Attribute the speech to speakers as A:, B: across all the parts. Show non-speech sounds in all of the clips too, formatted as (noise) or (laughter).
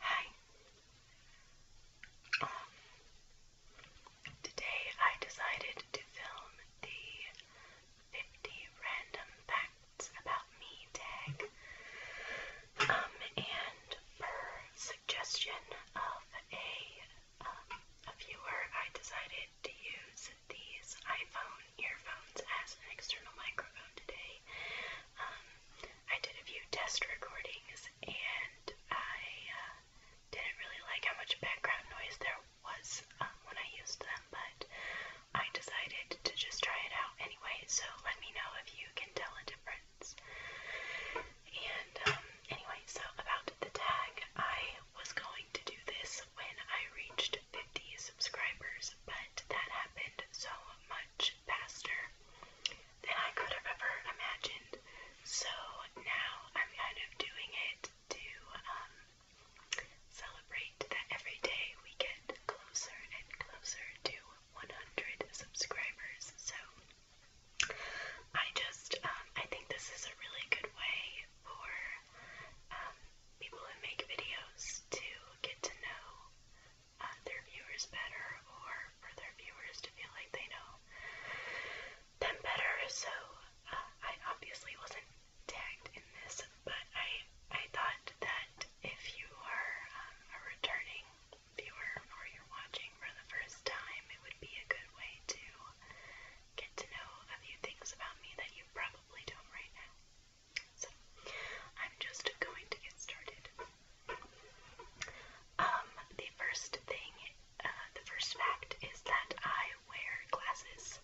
A: Hi. today I decided to film the 50 random facts about me tag. Um, and per suggestion of uh, a viewer, I decided to use these iPhone earphones as an external microphone today. Um, I did a few test recordings and I uh, didn't really like how much background noise there was um, when I used them, but I decided to just try it out anyway, so let me know if you can tell a difference. And um, anyway, so about the tag, I was going to do this when I reached 50 subscribers, but that happened so much faster than I could have ever imagined. So now I'm kind of doing it to um, celebrate that every day we get closer and closer to 100 subscribers. So I just, um, I think this is a really good way for um, people who make videos to get to know uh, their viewers better or for their viewers to feel like they know them better. So uh, I obviously wasn't tagged in this, but I I thought that if you are um, a returning viewer or you're watching for the first time, it would be a good way to get to know a few things about me that you probably don't right now. So I'm just going to get started. Um, the first thing, uh, the first fact is that I wear glasses.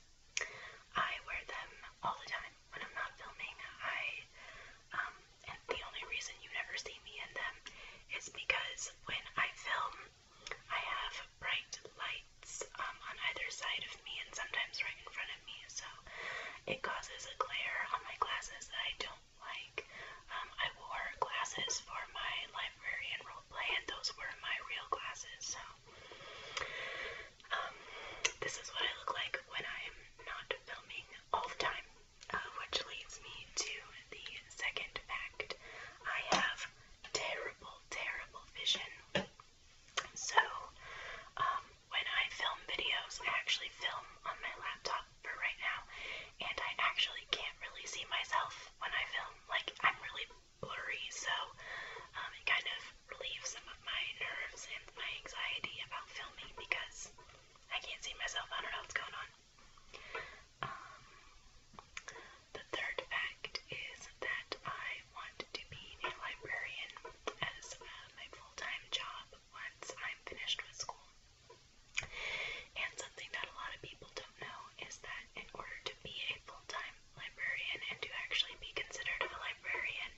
A: I wear them all the time when I'm not filming. I, um, the only reason you never see me in them is because when I film, I have bright lights um, on either side of me and sometimes right in front of me, so it causes a glare on my glasses that I don't like. Um, I wore glasses for my library and roleplay, and those were my real glasses. So, um, this is what I look like when I'm not filming all the time, uh, which leads me to the second fact. I have terrible, terrible vision. So, um, when I film videos, I actually film on my laptop for right now, and I actually can't really see myself when I film. Like, I'm really blurry, so um, it kind of relieves some of my nerves and my anxiety about filming because I can't see myself. I don't know what's going on. Um, the third fact is that I want to be a librarian as uh, my full time job once I'm finished with school. And something that a lot of people don't know is that in order to be a full-time librarian and to actually be considered a librarian,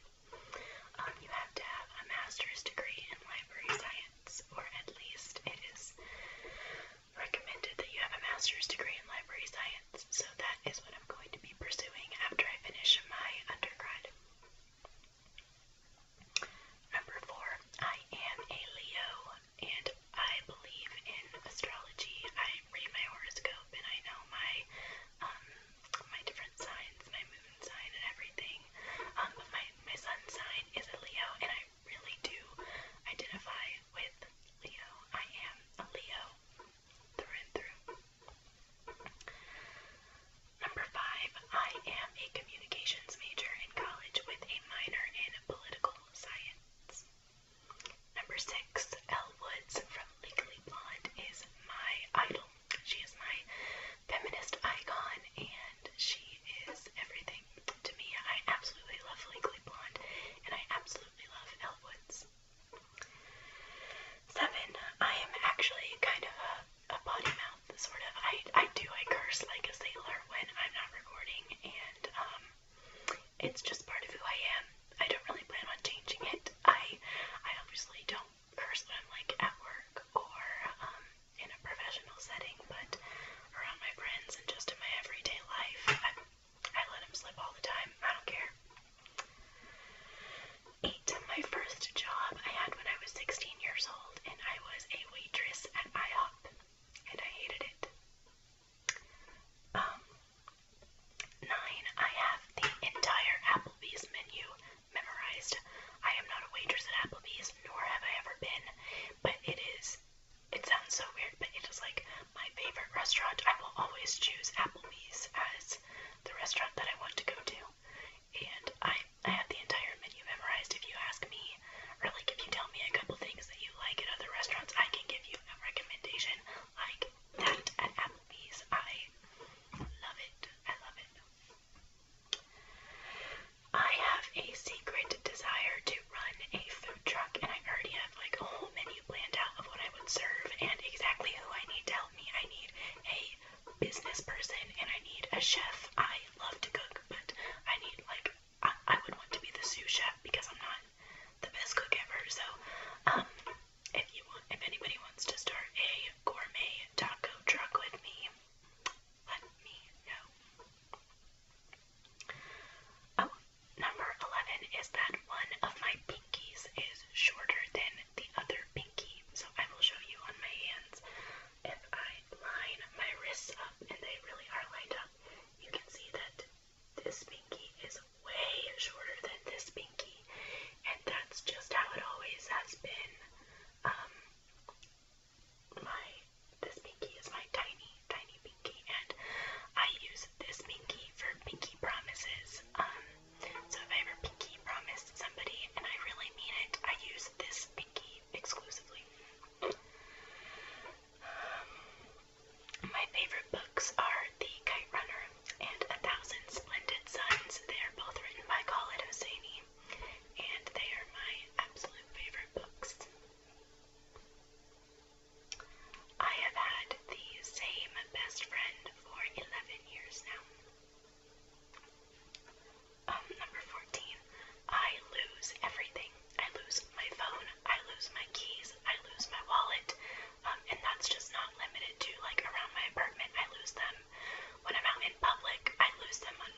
A: um, you have to have a master's degree in library science, or at least it is recommended that you have a master's degree in library science. So that is what I'm going to be pursuing after I finish my undergrad. Number four, I am a Leo and I believe in astrology. I read my horoscope and I know my um my different signs, my moon sign and everything. Um but my, my sun sign is a Leo and I really do identify with Leo. I am a Leo through and through. Number five, I am a communications major in college with a minor in political science. Number six, Elle Woods from Legally Blonde is my idol. She is my feminist icon and she is everything to me. I absolutely love Legally Blonde and I absolutely love Elle Woods. Seven, I am actually kind of a a potty mouth, sort of. I, I do, I curse like a sailor when I'm not recording, and um, it's just part of who I am. I don't really plan on changing it. I, I obviously don't curse when I'm like at work or um, in a professional setting, but around my friends and just in my everyday life, I, I let them slip all the time. I don't care to my first job I had when I was 16 years old, and I was a waitress at IHOP, and I hated it. Um, nine, I have the entire Applebee's menu memorized. I am not a waitress at Applebee's, nor have I ever been, but it is, it sounds so weird, but it is like my favorite restaurant. I will always choose Applebee's as the restaurant that I want to go to. And I, I have the entire menu memorized. If you ask me, or like if you tell me a couple things that you like at other restaurants, I can give you a recommendation like that at Applebee's. I love it. I love it. I have a secret desire to run a food truck, and I already have like a whole menu planned out of what I would serve and exactly who I need to help me. I need a business person and I need a chef. I love to cook, but I need like I, I would want to be the sous chef because I'm not the best cook ever. So, um, if you want, if anybody wants to start a gourmet taco truck with me, let me know. Oh, number 11 is that one of my pinkies is shorter than the other pinky. So I will show you on my hands. If I line my wrists up and they really are lined up, you can see that this pinky is way shorter than this pinky. And that's just how it always has been. Um, my this pinky is my tiny, tiny pinky, and I use this pinky for pinky promises. Um, so if I ever pinky promise somebody and I really mean it, I use this pinky exclusively. Um, my favorite books are The Kite Runner and A Thousand Splendid Suns. They are both written by Khaled Hosseini, and they are my absolute favorite books. I have had the same best friend for 11 years now. Um, number 14, I lose everything. I lose my phone, I lose my keys, I lose my wallet, um, and that's just not limited to like around my apartment. I lose them when I'm out in public, I lose them on,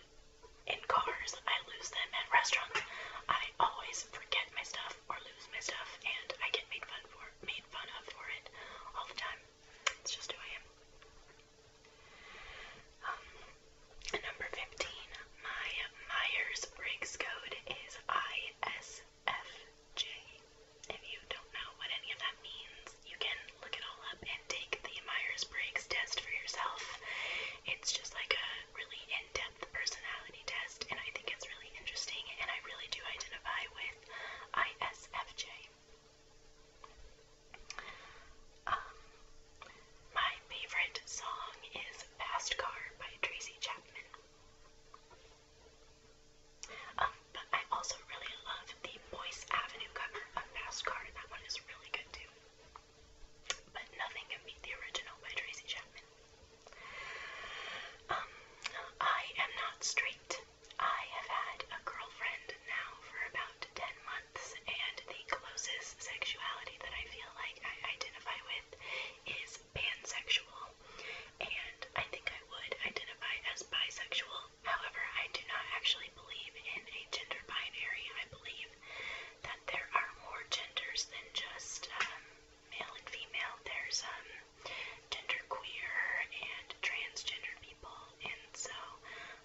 A: in cars, I lose them at restaurants. I always forget my stuff or lose my stuff, and I get made fun for made fun of for it all the time. It's just who I am. Um, number 15, my Myers-Briggs code is ISFJ. If you don't know what any of that means, you can look it all up and take the Myers-Briggs test for yourself. It's just like a really in-depth personality test, and I think it's really interesting, and I really do identify with ISFJ. Um, my favorite song is Fast Car by Tracy Chapman. Um, but I also really love the Boyce Avenue cover of Fast Car. That one is really good too. But nothing can beat the original by Tracy Chapman. Um, I am not straight I have had a girlfriend now for about 10 months, and the closest sexuality that I feel like I identify with is pansexual. And I think I would identify as bisexual. However, I do not actually believe in a gender binary. I believe that there are more genders than just um, male and female. There's um, genderqueer and transgender people, and so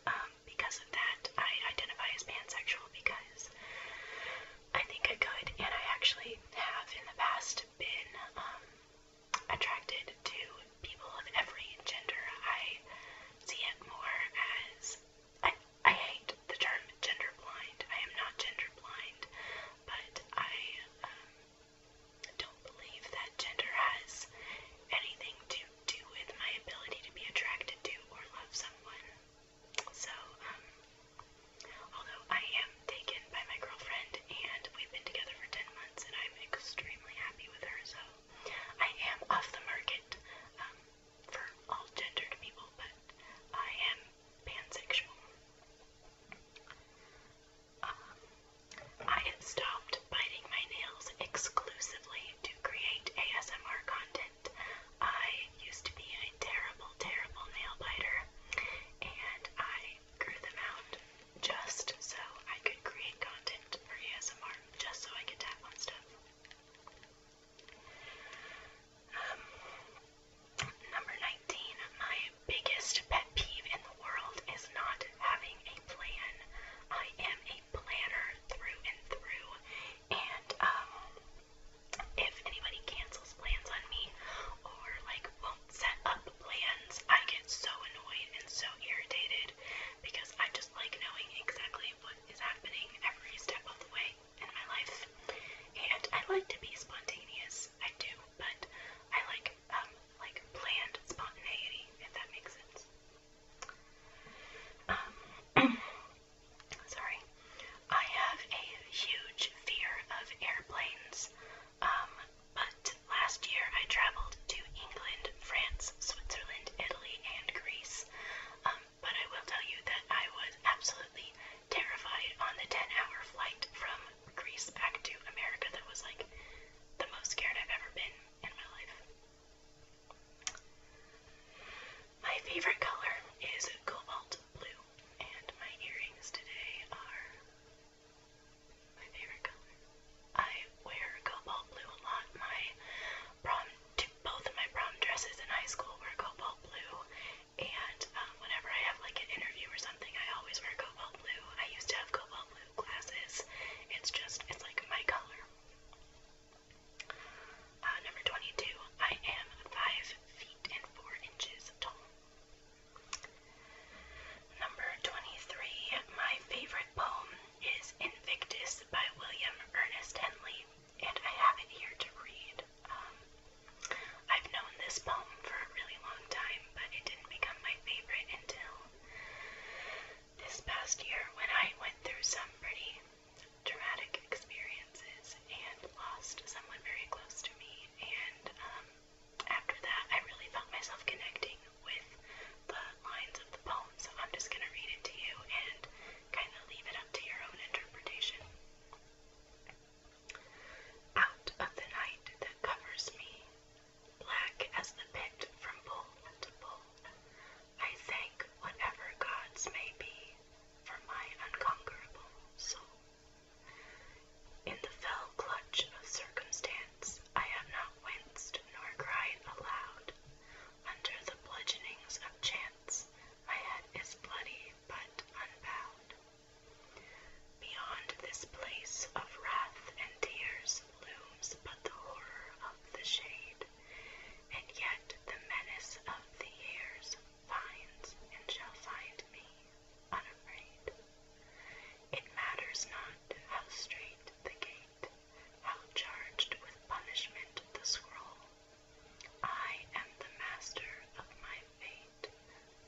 A: um, because of that, I identify as pansexual because I think I could, and I actually have in the past been um, attracted to people of every gender. I see it more as I, I hate the term gender blind. I am not gender blind, but I um, don't believe that gender has anything to do with my ability to be attracted to or love someone. So, um, although I am taken by my girlfriend and we've been together for 10 months and I'm extremely happy with her, so I am off the market um, for all gendered people, but I am pansexual. Um, I have stopped biting my nails exclusively to create ASMR content. I used to be a terrible, terrible nail biter, and I grew them out just so I could create content for ASMR, just so I could tap on stuff. Um, number 19, my biggest pet peeve in the world is not having I am a planner through and through, and um, if anybody cancels plans on me or like won't set up plans, I get so annoyed and so irritated because I just like knowing exactly what is happening every step of the way in my life. And I like to be spontaneous, I do, but I like um, like planned spontaneity, if that makes sense. Um, (clears throat) sorry. I have a huge fear of airplanes, um, but last year I traveled to England, France, Switzerland, Italy, and Greece. Um, but I will tell you that I was absolutely terrified on the 10 hour flight from Greece back to America. That was like the most scared I've ever been in my life. My favorite color is cobalt blue, and my earrings today are my favorite color. I wear cobalt blue a lot. My prom, both of my prom dresses in high school were cobalt blue, and um, whenever I have like an interview or something, I always wear cobalt blue. I used to have cobalt blue glasses. It's just, it's like my color. Uh, number 22, I am 5 feet and 4 inches tall. Number 23, my favorite poem is Invictus by William Ernest Henley, and I have it here to read. Um, I've known this poem for a really long time, but it didn't become my favorite until this past year when I went through some pretty traumatic experiences and lost someone very close to me. And um, after that, I really felt myself connecting with the lines of the poem. So I'm just going to read it to you and kind of leave it up to your own interpretation. Out of the night that covers me, black as the pit from pole to pole. I thank whatever gods may be for my unconquerable soul. In the fell clutch of circumstance, I have not winced nor cried aloud. Under the bludgeonings of chance, my head is bloody but unbowed. Beyond this place of wrath and tears, looms but the horror of the shade, and yet the menace of the years finds and shall find me unafraid. It matters not how straight the gate, how charged with punishment the scroll. I am the master of my fate,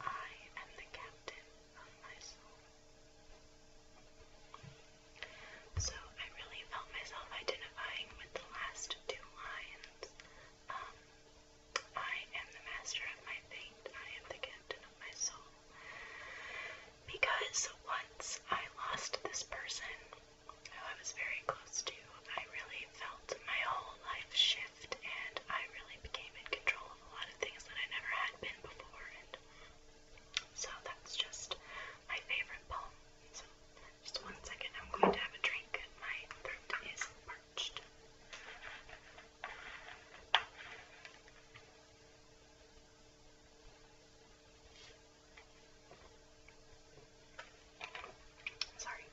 A: I am the captain of my soul. So I really felt myself identifying with the last two lines. Um, I am the master of my fate, I am the captain of my soul. Because once I lost this person who I was very close to, I really felt my whole life shift and I really became in control of a lot of things that I never had been before. And so that's just my favorite poem. So just one second, I'm going to have a drink. My throat is parched. Sorry.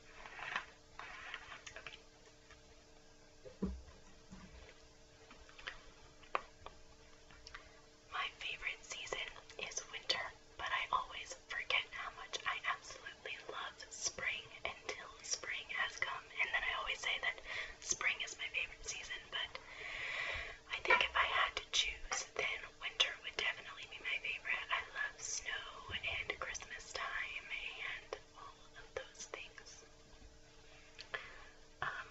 A: My favorite season is winter, but I always forget how much I absolutely love spring until spring has come. And then I always say that spring is my favorite season, but I think if I had to choose, then winter would definitely be my favorite. I love snow and Christmas time and all of those things. Um,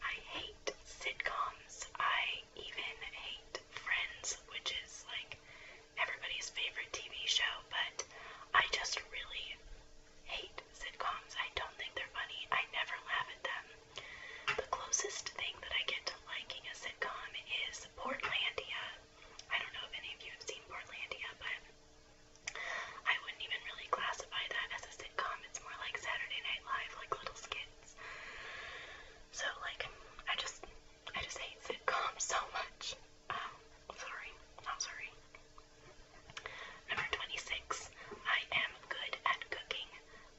A: I hate sitcoms. I even hate Friends, which is like everybody's favorite TV show, but I just really hate sitcoms. I don't think they're funny. I never laugh at them. The closest thing that I get to liking a sitcom is Portlandia. I don't know if any of you have seen Portlandia, but I wouldn't even really classify that as a sitcom. It's more like Saturday Night Live, like little skits. So like, I just, I just hate sitcoms so much. Um, sorry, not sorry. Number 26. I am good at cooking,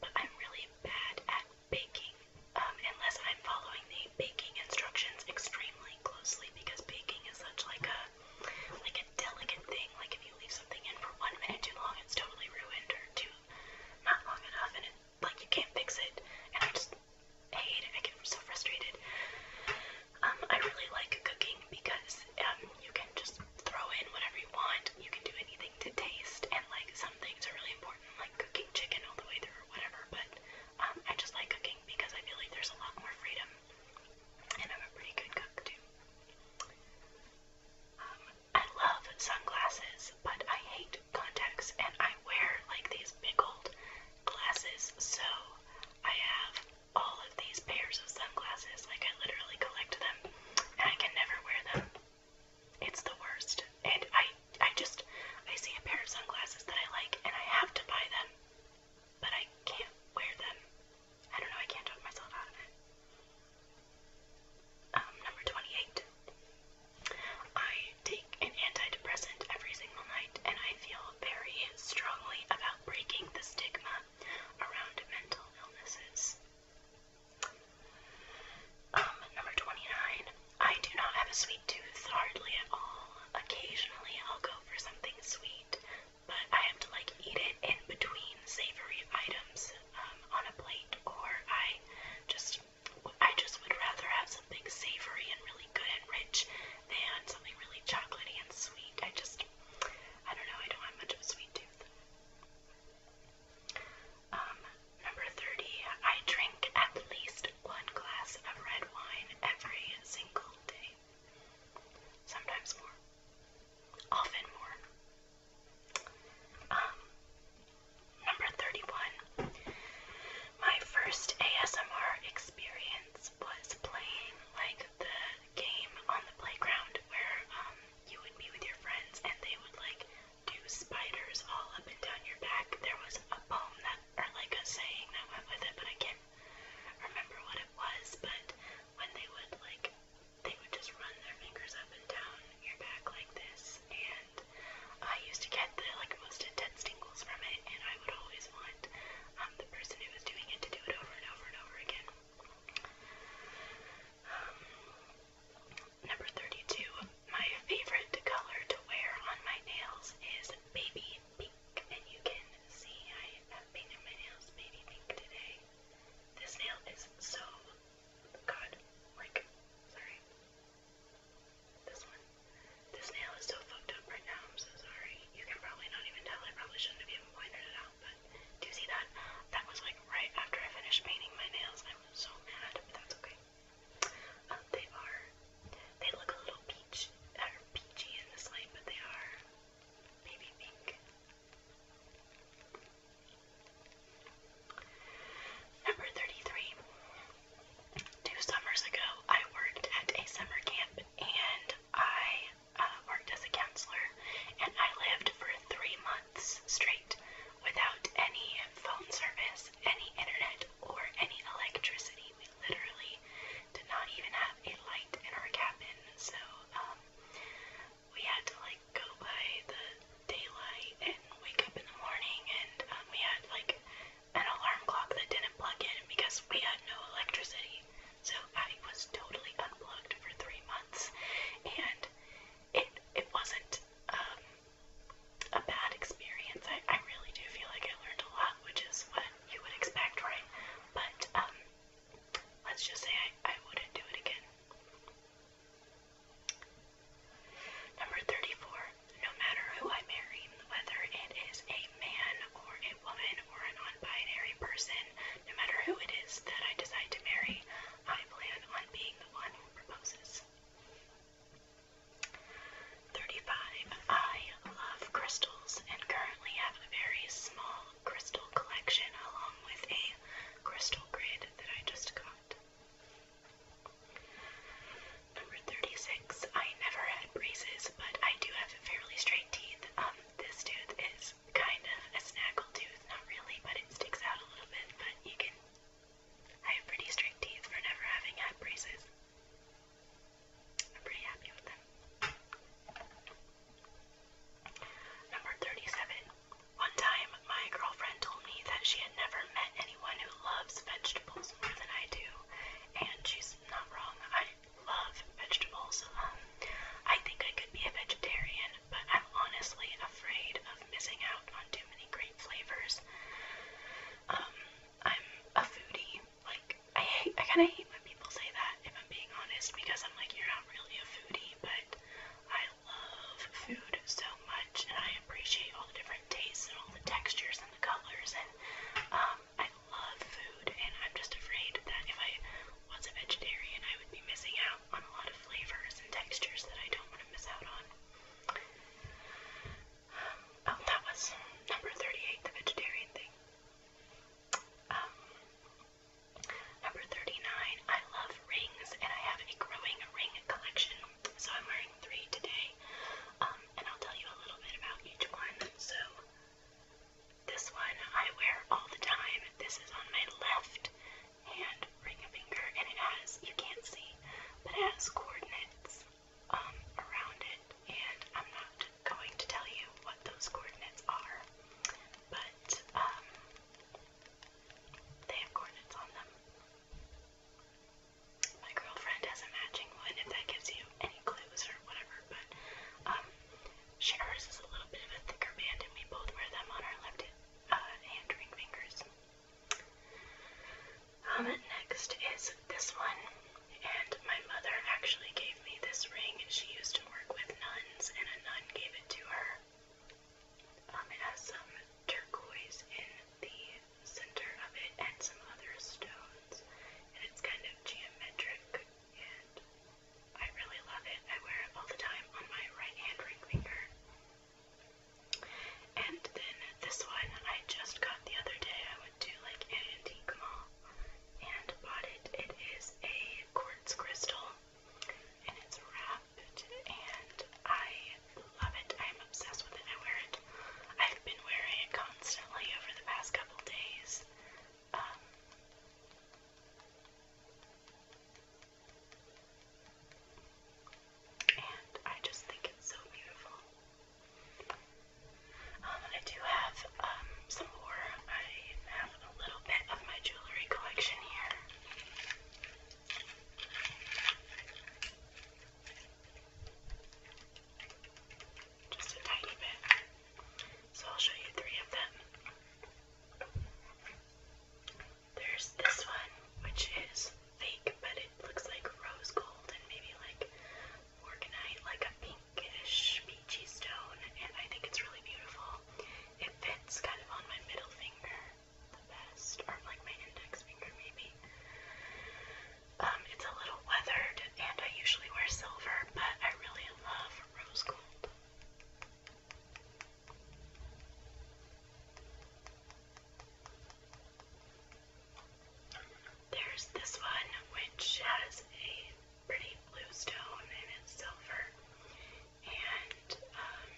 A: but I'm really bad at baking. Um, unless I'm following the baking instructions extremely closely because baking is such like a like a delicate thing. Like if you leave something in for one minute too long, it's totally ruined, or too not long enough, and it, like you can't fix it. And I just hate it. I get so frustrated. Um, I really like cooking because um, you can just throw in whatever you want. You can do anything to taste, and like some things are really important, like cooking chicken all the way through or whatever. But um, I just like cooking because I feel like there's a lot more freedom and I'm a pretty good cook too. Um, I love sunglasses, but I hate contacts, and I wear like these big old glasses, so I have all of these pairs of sunglasses. Like, I literally collect them, and I can never wear them. It's the worst. And I, I just, I see a pair of sunglasses that I like, and I have to buy them, but I can't wear them. I don't know, I can't talk myself out of it. Um, number 28. I take an antidepressant every single night, and I feel very strongly about breaking the stigma around mental illnesses. Um, number 29. I do not have a sweet tooth hardly at all. Occasionally I'll go for something sweet, but I have to like eat it in between savory items um, on a plate, or I just I just would rather have something savory and really good and rich than something really chocolatey and sweet. I just I don't know. I don't have much of a sweet tooth. Um, number 30, I drink at least one glass of red wine every single day sometimes more, often more. Um, number 31. My first ASMR experience was playing like the game on the playground where um, you would be with your friends and they would like do spiders all up and down your back. There was a poem that, or like a saying that went with it, but I can't remember what it was. But when they would like they would just run their fingers up and down your back like this, and I used to get the like most intense tingles from it, and I would always want um, the person who was doing it to do it over and over and over again. Um, number 32, my favorite color to wear on my nails is baby pink, and you can see I have something in my nails made me think today. This nail is so God, like, sorry. This one. This nail is so fucked up right now. I'm so sorry. You can probably not even tell. I probably shouldn't have even pointed it out, but do you see that? That was like right after I finished painting my nails. I was so mad, but that's okay. Um, they are. They look a little peach, or uh, peachy in this light, but they are baby pink. Number 33. Two summers ago, I worked at a summer camp and I uh, worked as a counselor, and I lived for three months straight without any phone service, any internet, or any electricity. We literally did not even have a light in our cabin, so uh, we had to like go by the daylight and wake up in the morning, and um, we had like an alarm clock that didn't plug in because we had no electricity. So I was totally unplugged for three months, and it it wasn't um, a bad experience. I, I really do feel like I learned a lot, which is what you would expect, right? But um, Let's just say I, I wouldn't do it again. Number 34. No matter who I marry, whether it is a man or a woman or a non binary person, no matter who it is that I decide to marry, I plan on being the one who proposes. 35. I love crystals and currently have a small crystal collection along with a crystal grid that I just got. Number 36. I never had braces, but I do have fairly straight teeth. Um, this tooth is kind of a snaggle tooth, not really, but it sticks out a little bit, but you can. I have pretty straight teeth for never having had braces. I'm pretty happy with them. Number 37. One time, my girlfriend told me that she had never met anyone who loves vegetables more than I do, and she's not wrong. I love vegetables. Um, I think I could be a vegetarian, but I'm honestly afraid of missing out on too many great flavors. Um, I'm a foodie. Like I hate, I kind of hate hate when people say that, if I'm being honest, because I'm like, you're not really a foodie, but I love food so much, and I appreciate all the different tastes and all the textures and the colors, and um, I love food, and I'm just afraid that if I was a vegetarian, I would be missing out on a lot of flavors and textures that I don't want to miss out on. Um, oh, that was number 38, the vegetarian thing. Um, Number 39, I love rings and I have a growing ring collection. So I'm wearing three today. Um, and I'll tell you a little bit about each one. So this one I wear all the time. This is on my left hand ring finger and it has, you can't see, but it has coordinates um, around it. And I'm not going to tell you what those coordinates are but um, they have coordinates on them. My girlfriend has a matching one, if that gives you any clues or whatever, but um, she, hers is a little bit of a thicker band, and we both wear them on our left uh, hand ring fingers. Um, next is this one, and my mother actually gave gave me this ring. She used to work with nuns, and a nun gave it to her. Um, it has some turquoise in the center of it and some other stones, and it's kind of geometric, and I really love it. I wear it all the time on my right hand ring finger. And then this one I just got the other day. I went to like an antique mall and bought it. It is a quartz quartz crystal, and it's wrapped, and I love it. I'm obsessed with it. I wear it. I've been wearing it constantly over the past couple days. Um, and I just think it's so beautiful. Um, I do have um, some more. I have a little bit of my jewelry collection here. Just a tiny bit. So I'll show you three of them. There's this one, which is fake, but it looks like rose gold and maybe like organite, like a pink pinkish peachy stone, and I think it's really beautiful. It fits kind of on my middle finger the best, or like my index finger maybe. Um, it's a little weathered, and I usually wear silver, but I really love rose gold. There's this one which has a pretty blue stone and it's silver. And um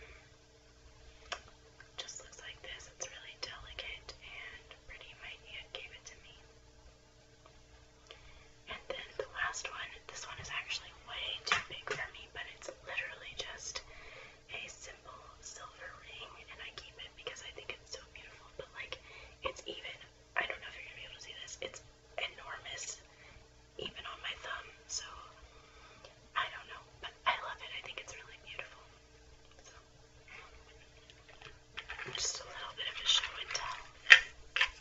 A: just looks like this. It's really delicate and pretty. My aunt gave it to me. And then the last one, this one is actually way too big for me, but it's literally just a simple silver ring and I keep it because I think it's so beautiful. But like it's even I don't know if you're gonna be able to see this, it's enormous, even on my thumb. So I don't know, but I love it. I think it's really beautiful. So just a little bit of a show and tell. Okay.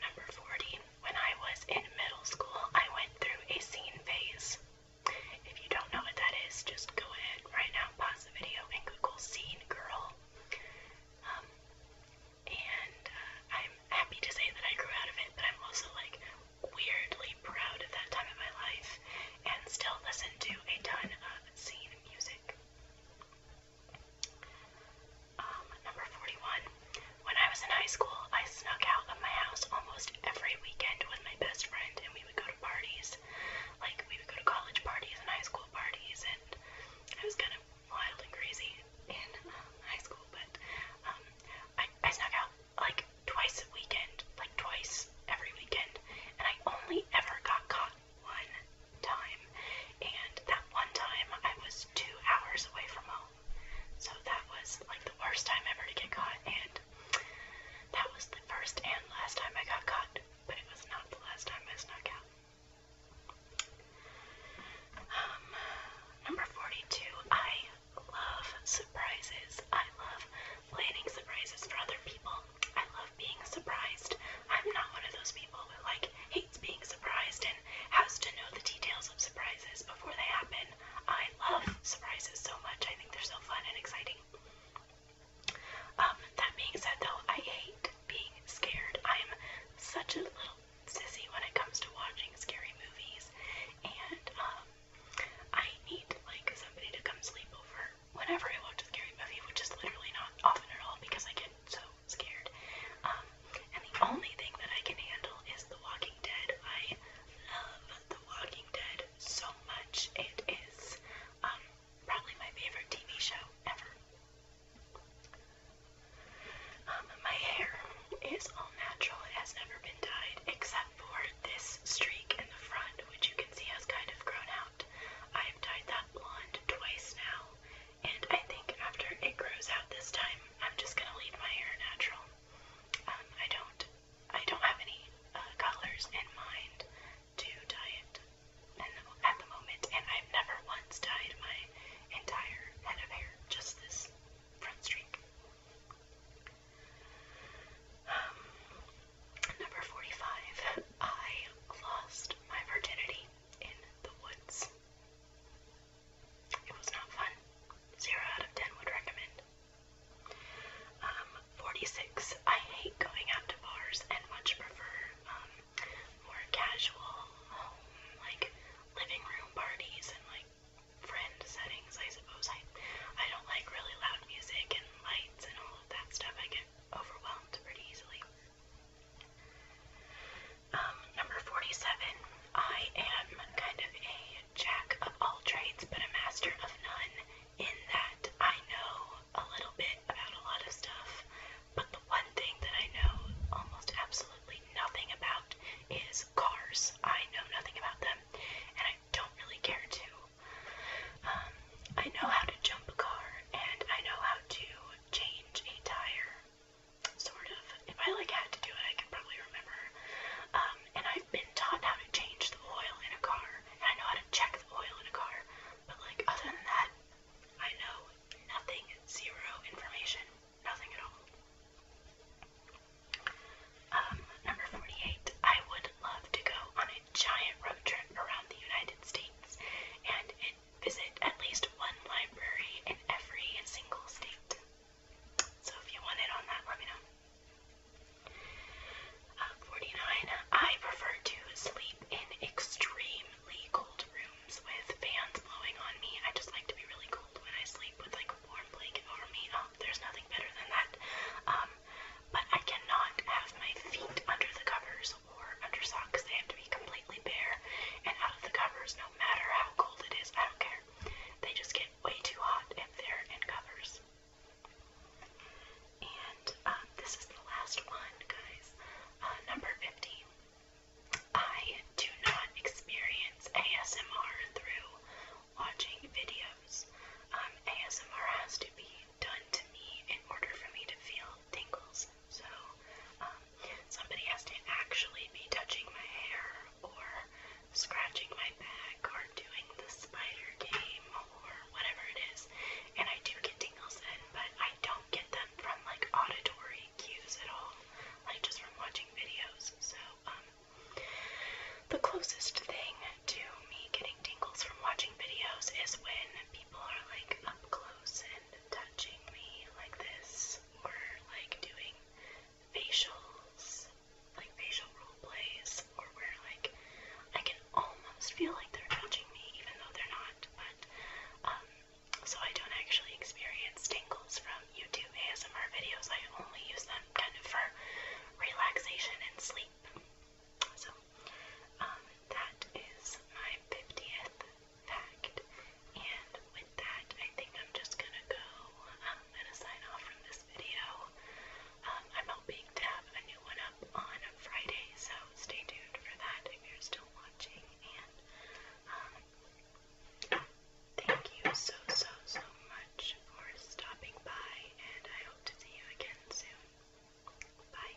A: Number 40. When I was in middle school, I went through a scene phase. If you don't know what that is, just go ahead right now, pause the video, and Google scene girl. Um, and uh, I'm happy to say that I grew out of it, but I'm also like weirdly proud of that time in my life and still listen to a ton of scene music. Um, number 41. When I was in high school, I snuck out of my house almost every weekend with my best friend, and we would go to parties. Like, we would go to college parties and high school parties, and I was kind of wild and crazy in um, high school, but um, I, I snuck out like twice a weekend, like twice every weekend, and I only ever got caught one time, and that one time I was two hours away from home. So that was like the worst time ever to get caught, and that was the first and last time I got caught, but it was not the last time I snuck out. Um, number 42, I love surprises. I love planning surprises for other people. I love being surprised. I'm not one of those people who, like, hey, hates being surprised and has to know the details of surprises before they happen. I love surprises so much. I think they're so fun and exciting. Um, that being said, though, I hate being scared. I'm such a little sissy when it comes to watching scary movies, and um, I need like somebody to come sleep over whenever I watch a scary movie, which is literally not often at all because I get so i scared. Um, and the only thing that I can handle is The Walking Dead. I love The Walking Dead so much. It is um, probably my favorite TV show ever. Um, my hair is all natural. It has never been dyed except for this streak in the front, which you can see has kind of grown out. I've dyed that blonde twice now, and I think after it grows out this time, I'm just gonna leave my hair natural. Um, I don't, I don't have any uh, colors in mind to dye it and at the moment, and I've never once dyed my entire head of hair, just this front streak. Um, number 45, (laughs) I lost my virginity in the woods. It was not fun. Zero out of ten would recommend. Um, 46. I hate going out to bars and much prefer um, more casual home, like living room parties and like friend settings, I suppose. I, I don't like really loud music and lights and all of that stuff. I get overwhelmed pretty easily. Um, number 47. I am kind of a jack of all trades, but a master of none, in that I know a little bit about a lot of stuff, but the one thing that I know almost absolutely nothing about is cars. I know nothing about them, and I don't really care to. Um, I know how to jump a car, and I know how to change a tire, sort of. If I like had to do it, I could probably remember. Um, and I've been taught how to change the oil in a car, and I know how to check the oil in a car. But like other than that, I know nothing, zero information, nothing at all. Um, number 48, I would love to go on a giant road trip around the United States and visit at least one library in every single state. So if you want it on that, let me know. Uh, 49. I prefer to sleep in extremely cold rooms with fans blowing on me. I just like to be really cold when I sleep with like warm blanket over me. Um, there's nothing better than that. Um, but I cannot have my feet under the covers or under socks. They have to be completely bare and out of the covers no matter how cold it is. I don't care. They just get way too hot if they're in covers. And um, this is the last one, guys. Uh, number 15. I do not experience ASMR through watching videos. Um, ASMR has to be done to me in order for me to feel tingles this. So um, somebody has to actually be touching my hair or scratching my back or doing the spider game or whatever it is. And I do get tingles then, but I don't get them from like auditory cues at all, like just from watching videos. So um, the closest thing to me getting tingles from watching videos is when people are like up close and touching me like this, or like doing facials, like facial role plays, or where like I can almost feel like they're touching me even though they're not, but um, so I don't actually experience tingles from YouTube ASMR videos. I only use them kind of for relaxation and sleep. So, um, that is my 50th fact. And with that, I think I'm just gonna go um, and sign off from this video. Um, I'm hoping to have a new one up on Friday, so stay tuned for that if you're still watching. And um, thank you so, so, so much for stopping by, and I hope to see you again soon. Bye.